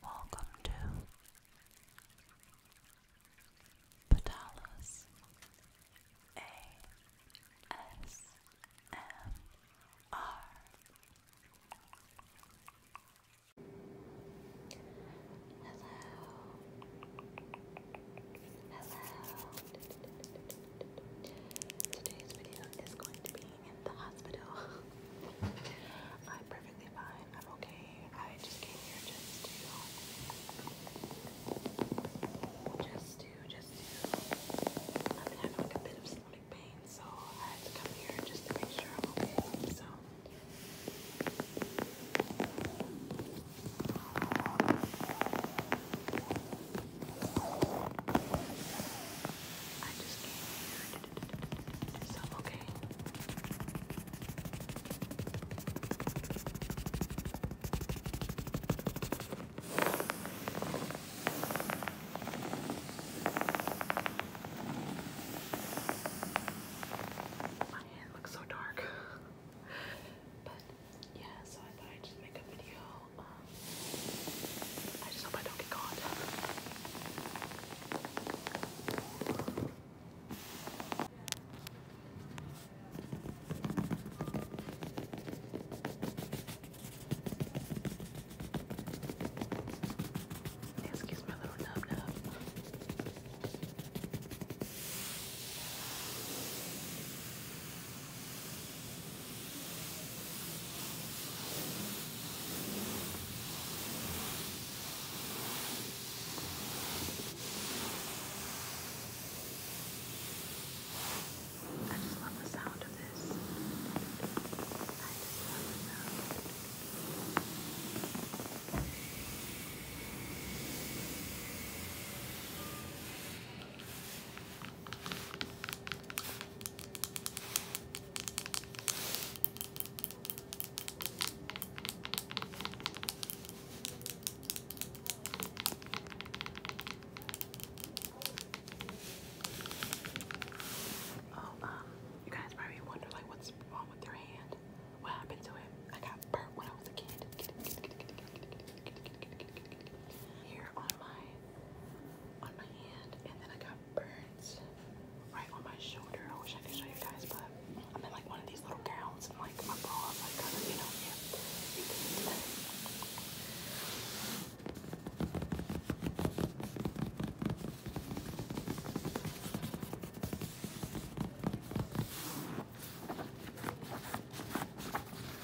Welcome to Patalas ASMR. Hello. Hello. Today's video is going to be in the hospital. I'm perfectly fine. I'm okay. I just came here just to, just to, just to. I've having like a bit of stomach pain, so I had to come here just to make sure I'm okay. So. I just came here so I'm okay. My hand looks so dark. but yeah, so I thought I'd just make a video I just hope I don't get caught. Excuse my little nub nub. I just love the sound of this. I just love the sound. Oh, um, you guys probably wonder like what's wrong with your hand. What happened to it? I got burnt when I was a kid. Here on on my hand, and then I got burns right on my shoulder. I wish I could show you guys, but I'm in like one of these little gowns, and like my bra is like kind of, you know, yeah.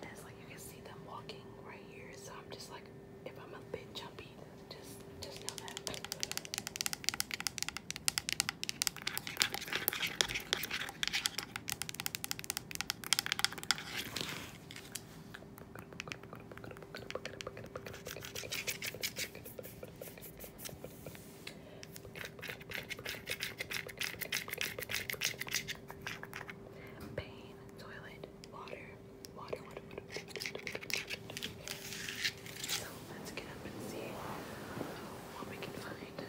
That's like you can see them walking right here, so I'm just like, if I'm a bit jumpy, just just know that. Pain, toilet, water, water, water, water. So let's get up and see what we can find.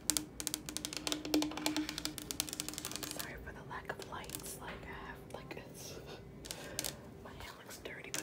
Sorry for the lack of lights. Like I have, like my hand looks dirty, but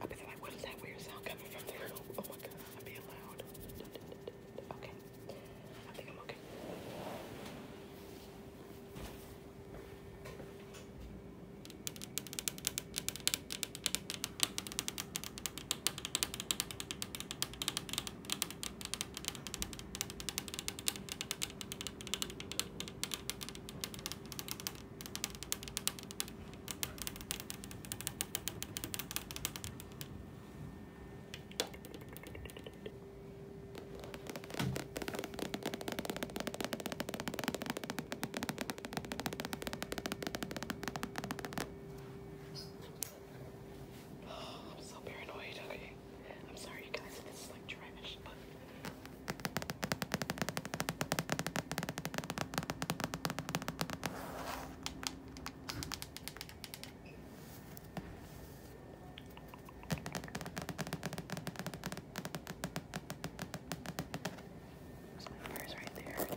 I'll be like, what is that weird sound coming from the room? Oh my god, I'm being loud. Okay. I think I'm okay. Oh, I'm so paranoid, okay. I'm sorry, you guys. This is like trash, There's my fingers right there.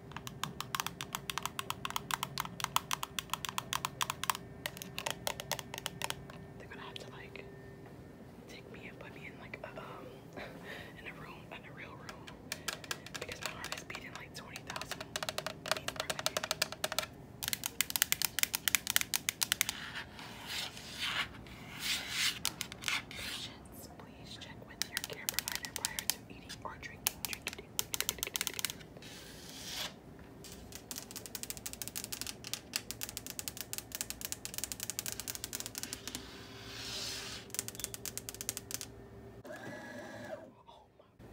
They're gonna have to like take me and put me in like um in a room, in a real room, because my heart is beating like twenty thousand Please check with your care provider prior to eating or drinking.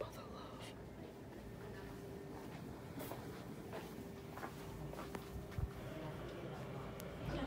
Oh my mother love.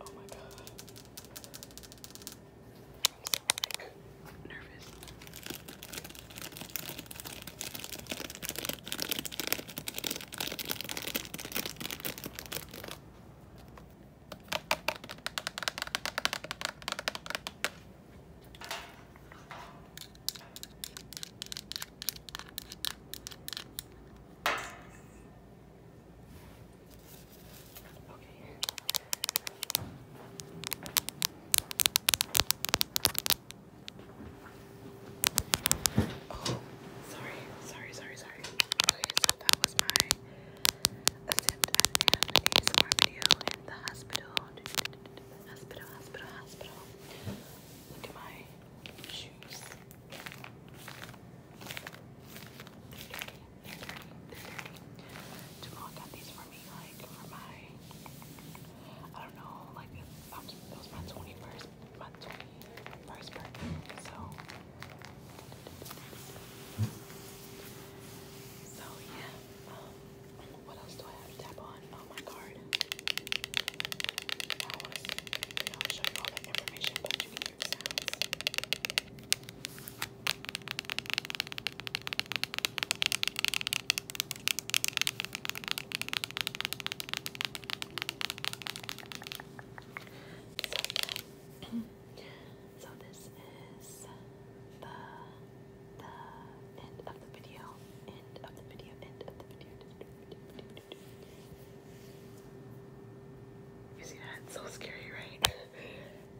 Oh my god. I'm so sick. I'm nervous. Okay. Oh, sorry, sorry, sorry, sorry. Okay, so that was my attempt in the hospital. Hospital, hospital, hospital. Look at my shoes. They're these for me on like for my I don't know, like it, was my twenty first my twenty first birthday. So so yeah. Um, what else do I have to tap on? Oh my card. I want to you show all that information, but you can yeah. so this is the the end of the video. End of the video. End of the video. You see that? so scary, right?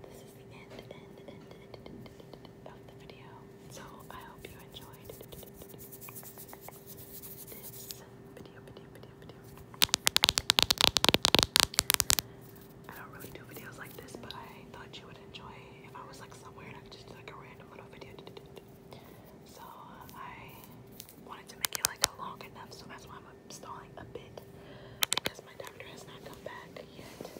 this is the end of the video. So I hope you enjoyed this video, I don't really do videos like this, but I thought you would enjoy if I was like somewhere and I could just do like a random little video. So I wanted to make it like long enough, so that's why I'm stalling a bit because my doctor has not come back yet.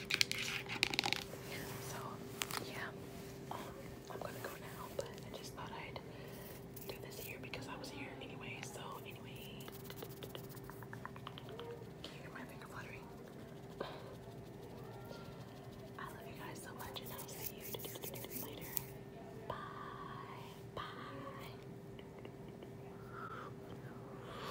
So, yeah, um, I'm gonna go now, but I just thought I'd do this here because I was here anyway. So, anyway, can you hear my finger fluttering? I love you guys so much, and I'll see you later. Bye. Bye.